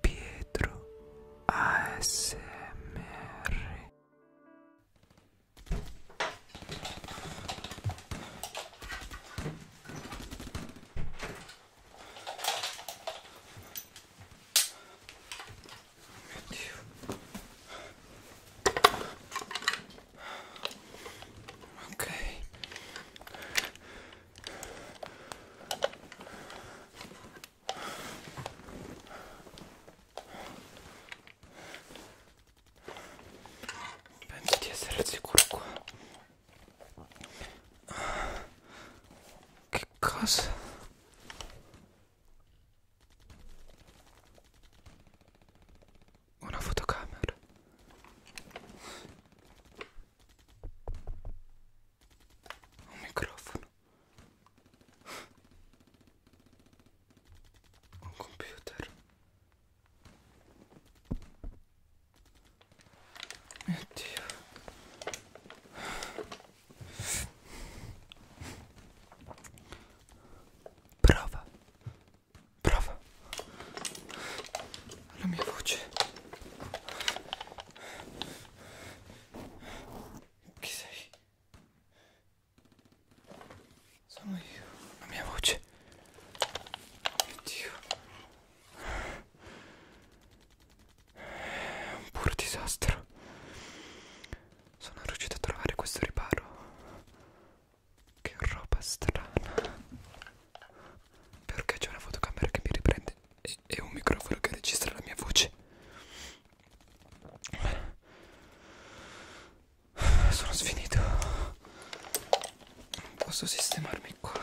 Pietro ASMR Ok Penso di essere al sicuro qua. Che cosa? Una fotocamera un microfono un computer mio dio prova prova la mia voce. Chi sei? Sono io, la mia voce. Mio Dio. È un puro disastro. Sono riuscito a trovare questo riparo. Che roba strana perché c'è una fotocamera che mi riprende e, e un microfono che registra la mia voce sono sfinito posso sistemarmi qua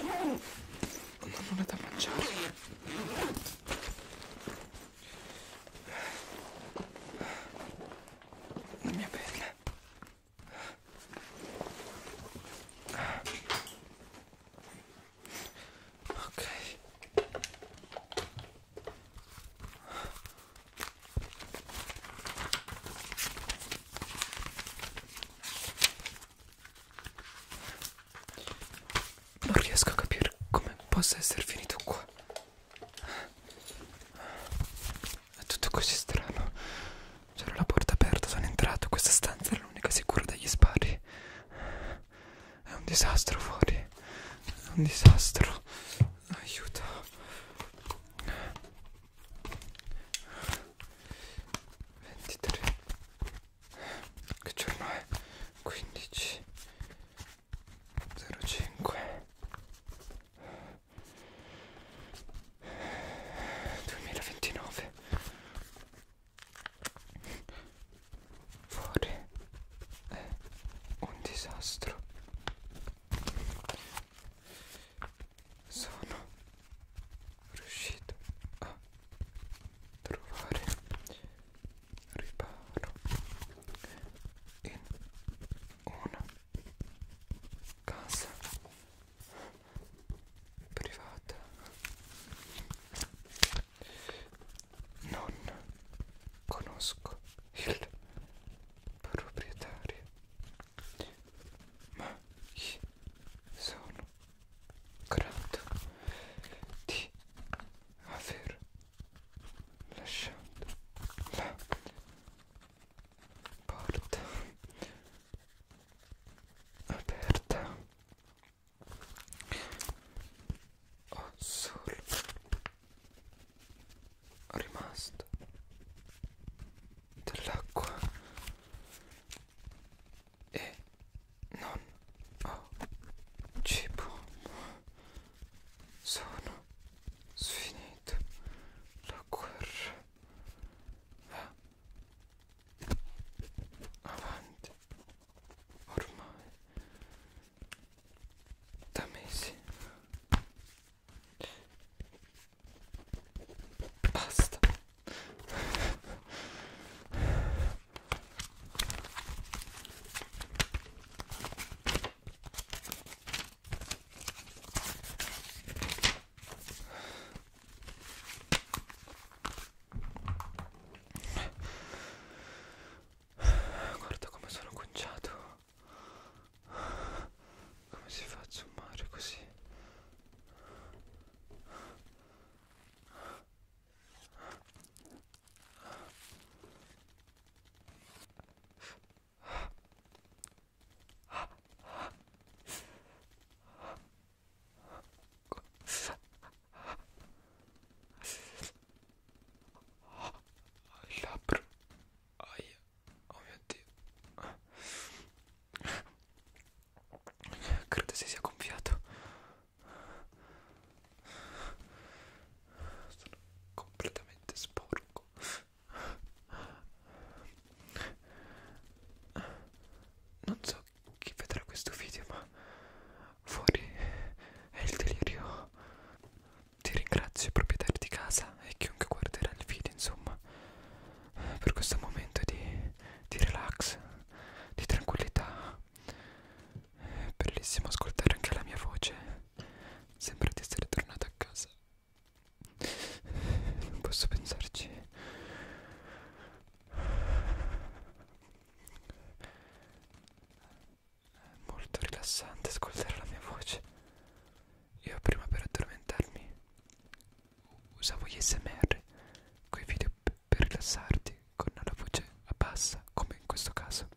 Non è da mangiare. La mia pelle. Ok. Non riesco a capire come possa essere finito qua. È tutto così strano. C'era la porta aperta, sono entrato. Questa stanza è l'unica sicura dagli spari. È un disastro fuori. È un disastro. Aiuto. 23 che giorno è? 15 05 2029 fuori è eh, un disastro sono riuscito a trovare riparo in una casa privata non conosco il proprietario ma gli sono grato di aver lasciato la porta aperta ho solo rimasto dell'acqua e non ho cibo sono sfinito la guerra va avanti ormai da mesi Basta. Guarda come sono conciato. Come si fa a zoomare così? Il labbro, aia, dio oh mio dio credo si sia gonfiato sono completamente sporco non so chi vedrà questo video ma fuori è il delirio ti ringrazio i proprietari di casa e chiunque guarderà il video insomma per questo momento di, di relax, di tranquillità. È bellissimo ascoltare anche la mia voce. Sembra di essere tornata a casa. Non posso pensarci. È molto rilassante ascoltare la mia voce. Io prima per addormentarmi usavo gli SMR, quei video per rilassarti con la voce a bassa, come in questo caso.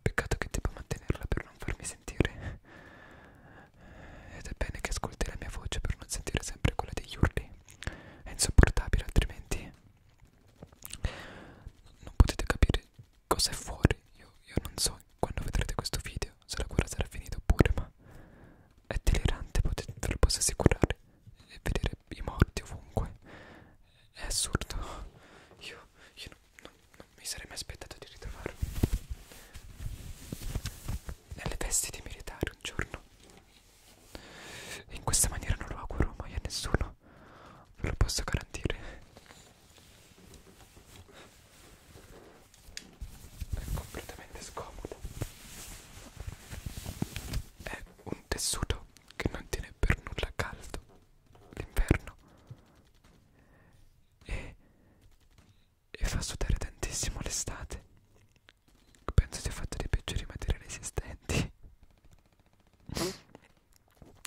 Peccato che debba mantenerla per non farmi sentire. Ed è bene che ascolti la mia voce per non sentire sempre quella degli urli. È insopportabile altrimenti. Non potete capire cosa è fuori io, io non so quando vedrete questo video se la guerra sarà finita oppure ma è delirante potete, ve lo posso assicurare e vedere i morti ovunque è assurdo io, io non, non, non mi sarei mai aspettato di ritrovarlo nelle vesti di militare un giorno in questa maniera non lo auguro mai a nessuno no ve lo posso garantire è completamente scomodo è un tessuto che non tiene per nulla caldo l'inverno e, e fa sudare tantissimo l'estate penso sia fatto dei peggiori materiali esistenti mm?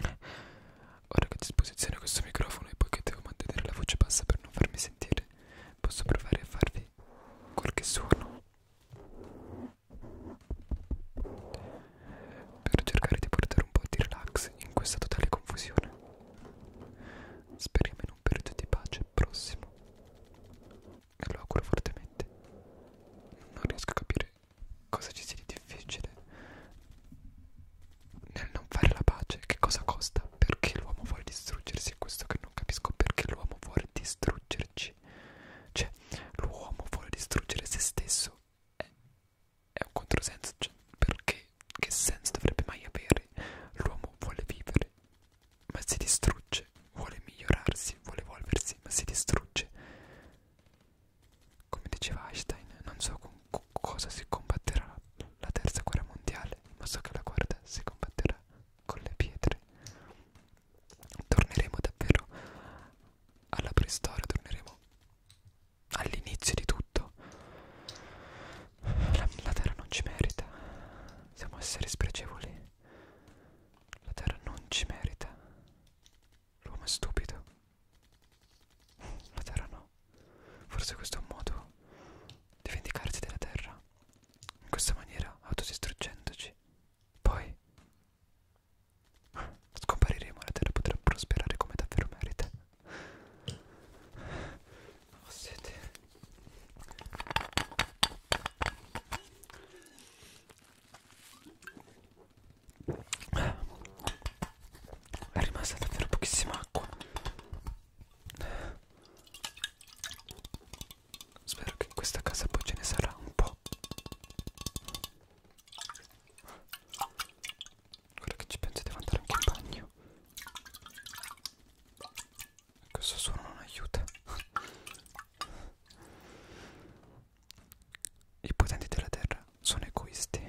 Ora che ho a disposizione questo microfono e poiché devo mantenere la voce bassa per non farmi sentire, posso provare a farvi qualche suono per cercare di portare un po' di relax in questa totale confusione. Speriamo in un periodo di pace prossimo. Me lo auguro fortemente. Non riesco a capire Cosa ci sia di difficile nel non fare la pace? Che cosa costa? Perché l'uomo vuole distruggersi? È questo che non capisco. Perché l'uomo vuole distruggerci? Cioè, l'uomo vuole distruggere se stesso. È, è un controsenso. Cioè, perché? Che senso dovrebbe mai avere? L'uomo vuole vivere, ma si distrugge. Vuole migliorarsi, vuole evolversi, ma si distrugge. Come diceva Einstein, non so con cosa si combatterà la terza guerra mondiale, ma so che la guerra si combatterà con le pietre. Torneremo davvero alla preistoria, torneremo all'inizio di tutto. La, la terra non ci merita, siamo esseri spregevoli. La terra non ci merita. L'uomo è stupido. La terra no. Forse questo è un modo di vendicarsi della terra. In questa maniera, autodistruggendoci. Poi scompariremo e la terra potrà prosperare come davvero merita. Ho oh, sete. È rimasta davvero pochissima acqua. Spero che in questa casa poi ce ne sarà un po'. Ora che ci penso devo andare anche in bagno. Questo ecco, suono non aiuta. I potenti della terra sono egoisti,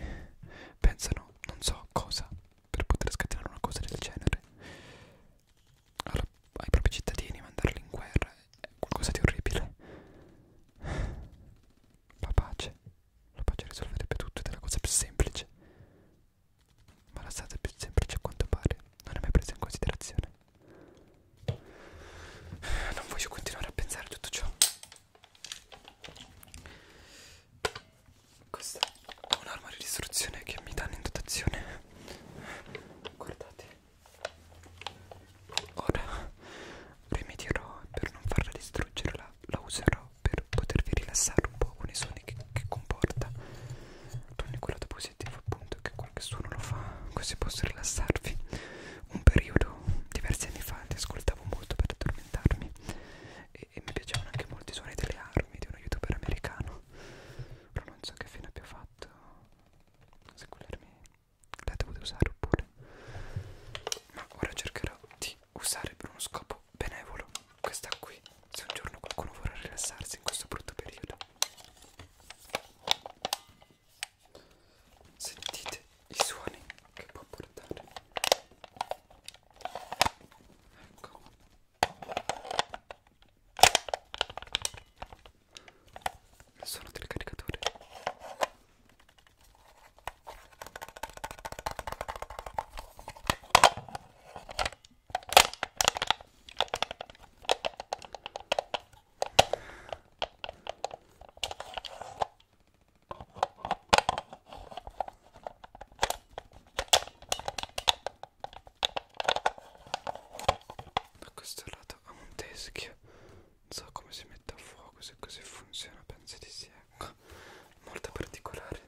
pensano non so cosa per poter scatenare una cosa del genere. Allora, ai propri cittadini mandarli in guerra è qualcosa di orribile. La pace, la pace risolverebbe tutto ed è la cosa più semplice. Ma la strada più semplice a quanto pare non è mai presa in considerazione. Non voglio continuare a pensare a tutto ciò. Questa è un'arma di distruzione che mi danno in dotazione. Guardate. Ora rimedierò per non farla distruggere, la, la userò per potervi rilassare un po' con i suoni che, che comporta. Tranne quella dopo siete appunto che qualche suono lo fa così posso rilassarvi un periodo diversi anni fa li ascoltavo molto per addormentarmi e, e mi piacevano anche molti suoni delle armi di uno youtuber americano però non so che fine abbia fatto se quell'armi la dovete usare oppure ma ora cercherò di usare per uno scopo benevolo questa qui se un giorno qualcuno vorrà rilassarsi in questo brutto periodo Sentite i suoni che può portare. Ecco. Il suono del caricatore da questo lato ha un teschio non so come si mette a fuoco se così funziona penso di sì ecco molto particolare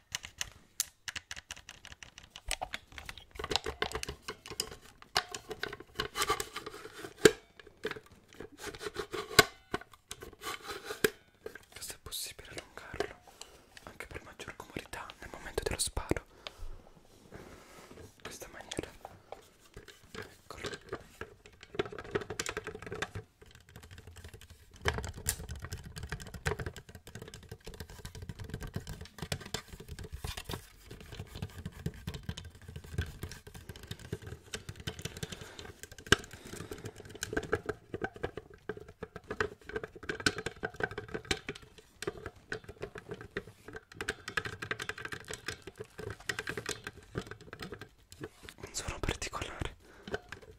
Questo è possibile allungarlo anche per maggior comodità nel momento dello sparo in questa maniera eccolo non sono particolare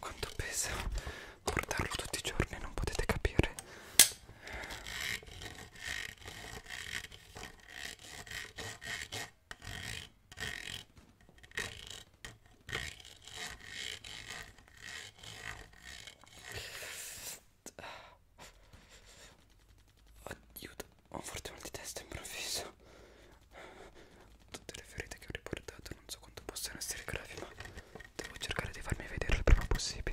Quanto pesa portarlo tutti i giorni, non potete capire. Aiuto, ho un forte mal di testa improvviso. Tutte le ferite che ho riportato non so quanto possano essere gravi, ma devo cercare di farmi vedere il prima possibile.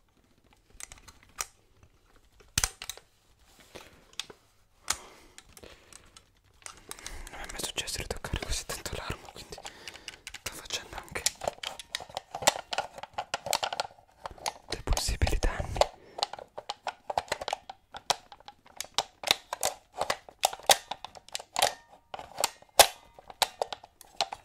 Non è mai successo di toccare così tanto l'arma, quindi sto facendo anche dei possibili danni.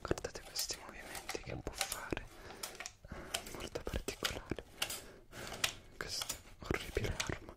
Guardate questi movimenti che può fare, eh, molto particolare. Questa orribile arma.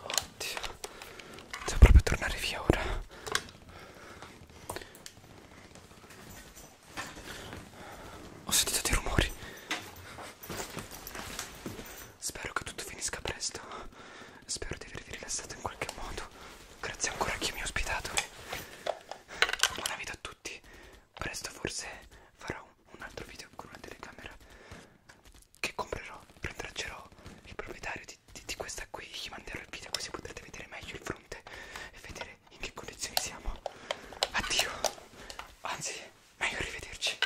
Oddio, devo proprio tornare via ora. Ho sentito dei rumori. Spero che tutto finisca presto. Spero di avervi rilassato in qualche modo. Grazie ancora a chi mi ha ospitato. Buona vita a tutti presto forse farò un, un altro video con una telecamera che comprerò, rintraccerò il proprietario di, di, di questa qui, gli manderò il video così potrete vedere meglio il fronte e vedere in che condizioni siamo. Addio, anzi, meglio arrivederci.